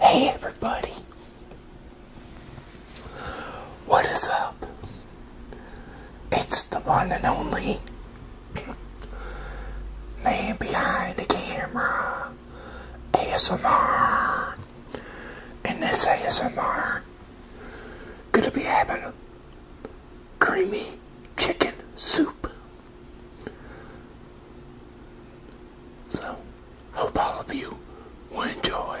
Hey everybody! What is up? It's the one and only man behind the camera ASMR and this ASMR gonna be having creamy chicken soup so, hope all of you will enjoy.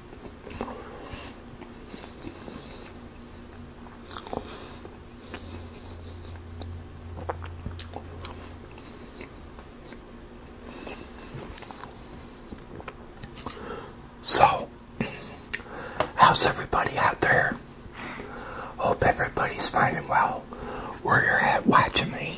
So, how's everybody out there? Hope everybody's finding well where you're at watching me.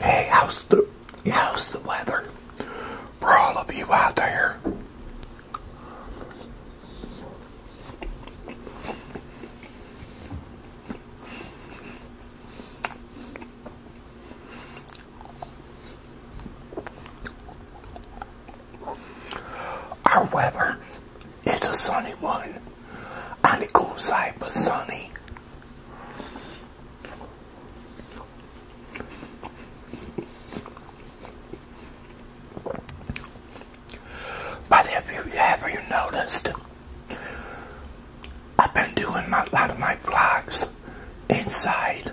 Hey, how's the how's the weather for all of you out there? Our weather it's a sunny one and it goes side, but sunny. But have you ever noticed, I've been doing a lot of my vlogs inside.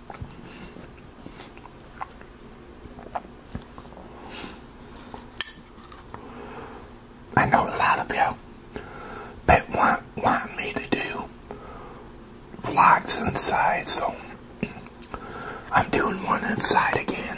I know a lot of you that want want me to do vlogs inside, so I'm doing one inside again.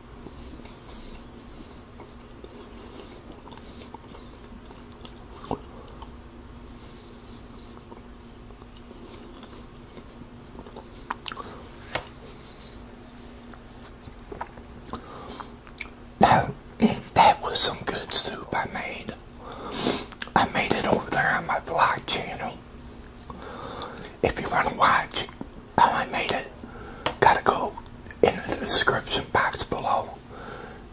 that was some good soup I made. I made it over there on my vlog channel. If you want to watch, how oh, I made it, gotta go into the description box below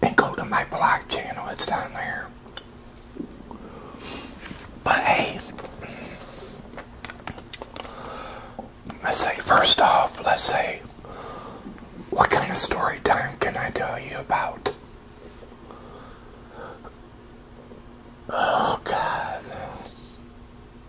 and go to my blog channel. It's down there. But hey, let's say first off, let's say, what kind of story time can I tell you about? Oh God.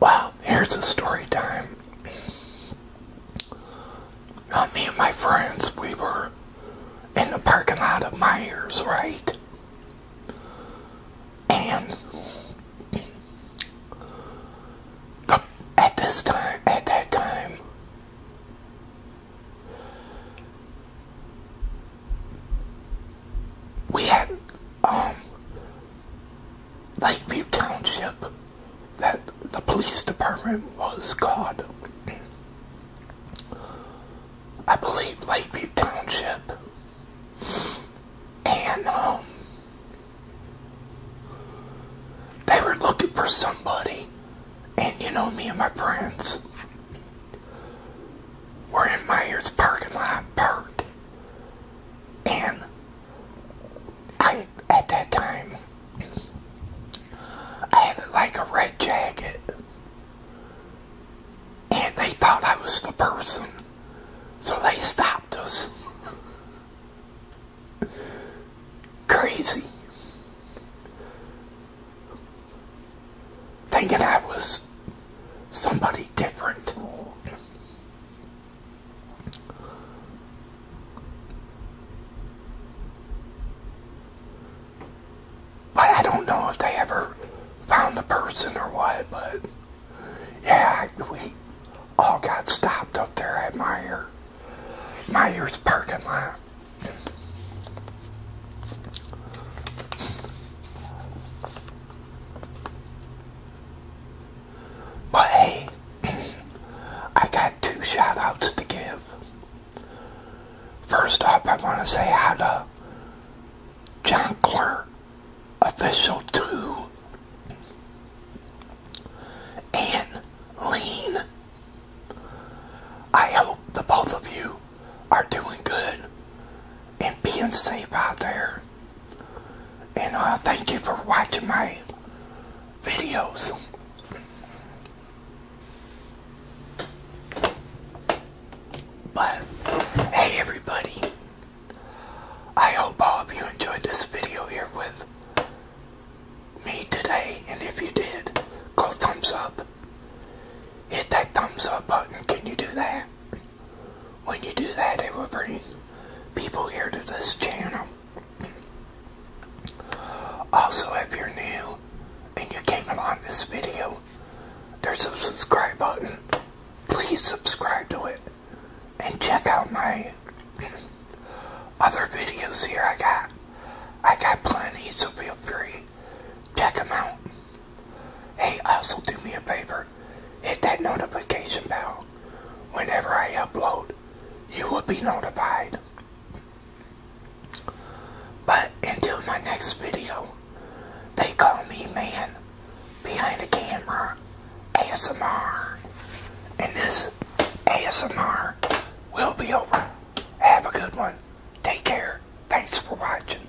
Wow! here's a story time. me and my friends, we were in the parking lot of Myers, right? And at this time, at that time, we had um, Lakeview Township that the police department was called. I believe Lakeview Township. And um, they were looking for somebody. And you know me and my friends were in Myers parking lot parked. And I, at that time, I had like a red jacket. And they thought I was the person. So they stopped us. Crazy thinking I was somebody different. But I don't know if they ever found the person or what, but yeah, we all got stopped up there at Meyer, Meyer's parking lot. But hey, I got two shoutouts to give. First off, I want to say hi to Jonkler Official 2 and Lean. I hope the both of you are doing good and being safe out there. And uh, thank you for watching my videos. But, hey everybody, I hope all of you enjoyed this video here with me today. And if you did, go thumbs up. Hit that thumbs up button. Can you do that? when you do that, it will bring people here to this channel. Also, if you're new and you came along this video, there's a subscribe button. Please subscribe to it and check out my other videos here. I got I got plenty, so feel free check them out. Hey, also do me a favor. Hit that notification bell. Whenever I upload, you will be notified. But until my next video, they call me man behind the camera ASMR. And this ASMR will be over. Have a good one. Take care. Thanks for watching.